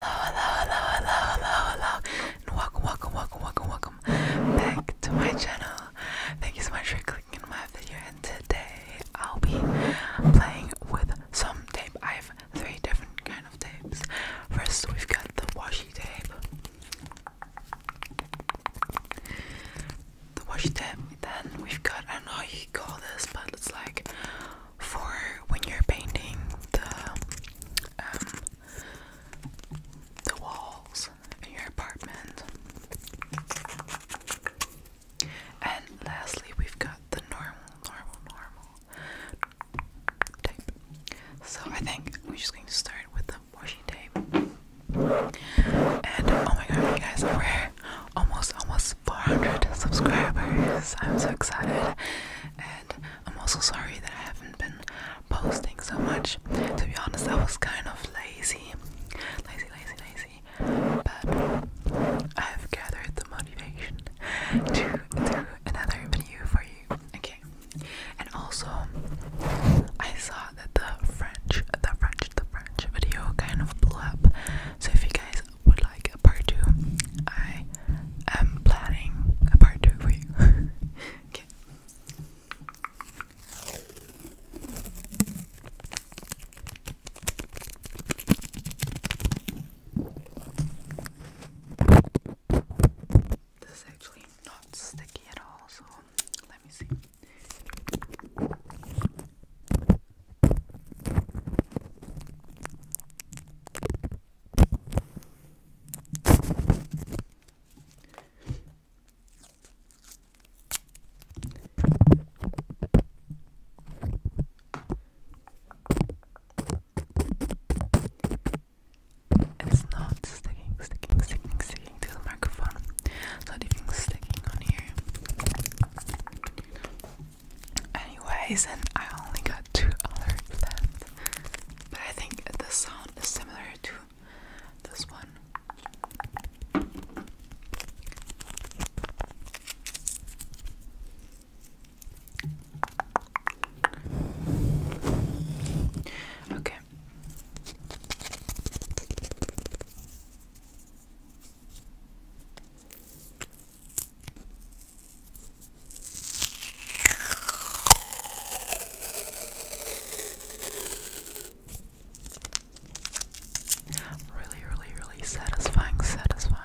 Hello, hello, hello, hello, hello, hello, welcome, welcome, welcome, welcome, welcome back to my channel. Thank you so much for clicking on my video, and today I'll be playing with some tape. I have three different kind of tapes. First, we've got the washi tape. The washi tape. Then we've got I know you call this, but it's like for when you're painting the um, the walls in your apartment. And lastly, we've got the normal, normal, normal tape. So I think we're just going to start with the washi tape. And oh my god, you guys, we're almost, almost 400 subscribers. I'm so excited. I'm also sorry that I haven't been posting so much. To be honest, I was kind of lazy. Lazy, lazy, lazy. But I've gathered the motivation to do another video for you. Okay. And also I saw that the French the French the French video kind of blew up. So if you guys would like a part two, I am planning a part two for you. okay. This is actually not sticky at all, so let me see. It's not sticking, sticking, sticking, sticking to the microphone. So anything sticking on here. Anyways, and I only got two other left. But I think the sound is similar to this one. Okay. Really, really, really satisfying, satisfying.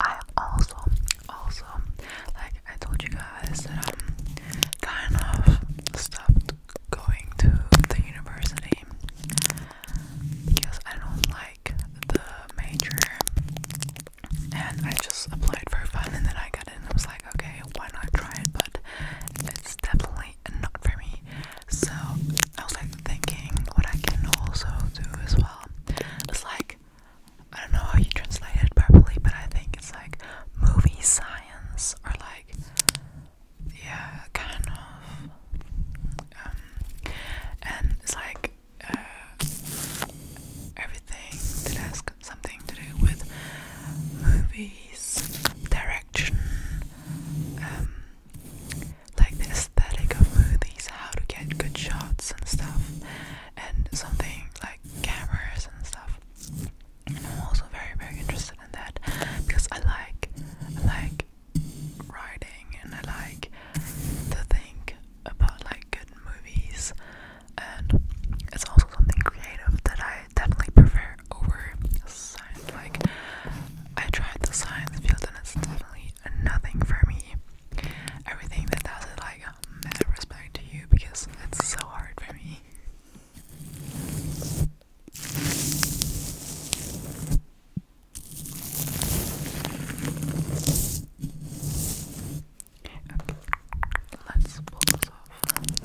I am also, also like I told you guys that I'm kind of stopped going to the university because I don't like the major and I just applied for fun and then I got in I was like okay why not try it but it's definitely not for me so I was like thinking what I can also do as well It's like I don't know how you translate it properly, but I think it's like movie science or like yeah, kind of. Um, and it's like uh, everything that has something to do with movies, direction, um, like the aesthetic of movies, how to get good shots and stuff, and something like cameras and stuff. I'm also very, very interested in that because I like, I like writing and I like to think about like good movies, and it's also something creative that I definitely prefer over science. Like I tried the science field and it's definitely nothing for me. Everything that does it like um, as a respect to you because it's so hard for me. let's pull this off.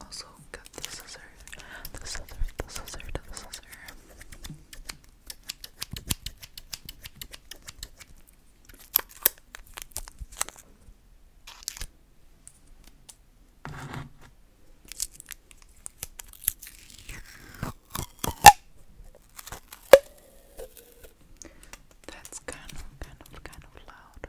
Also, got the scissor, the scissor, the scissor, the scissor. That's kind of, kind of, kind of loud.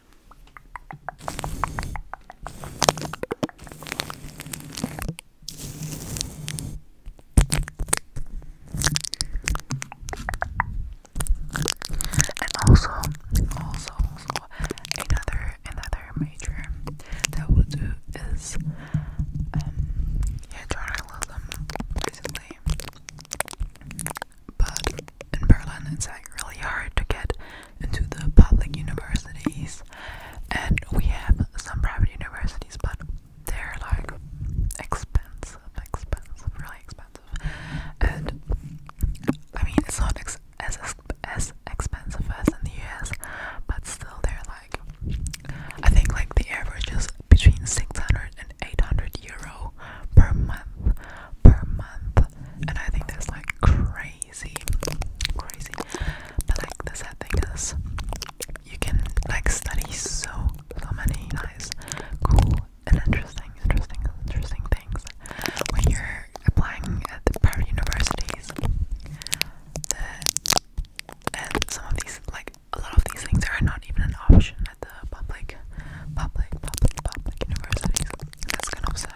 And also, also, also, another, another major that we'll do is, um, yeah, journalism, basically. But in Berlin, it's like really hard to get into the public universities, and we have some private universities, but they're like expensive, expensive, really expensive. And I mean, it's not ex as as expensive as in the US, but still, they're like I think like the average is between 600 and 800 euro people per month per month and I think that's like crazy crazy but like the sad thing is you can like study so so many nice cool and interesting interesting interesting things when you're applying at the private universities the, and some of these like a lot of these things are not even an option at the public, public, public, universities. That's kind of sad.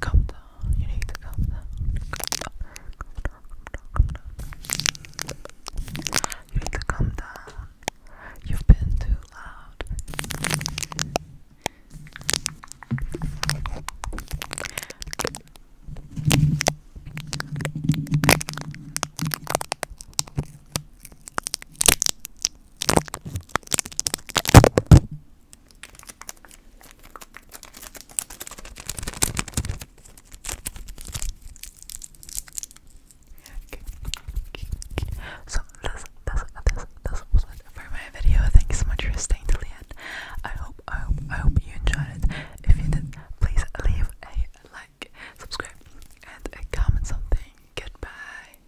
Come down. You need to calm down. Calm down. You need to calm down. You've been too loud. So this, this, this, this was it for my video. Thank you so much for staying till the end. I hope, I hope, I hope you enjoyed it. If you did, please leave a like, subscribe, and comment something. Goodbye.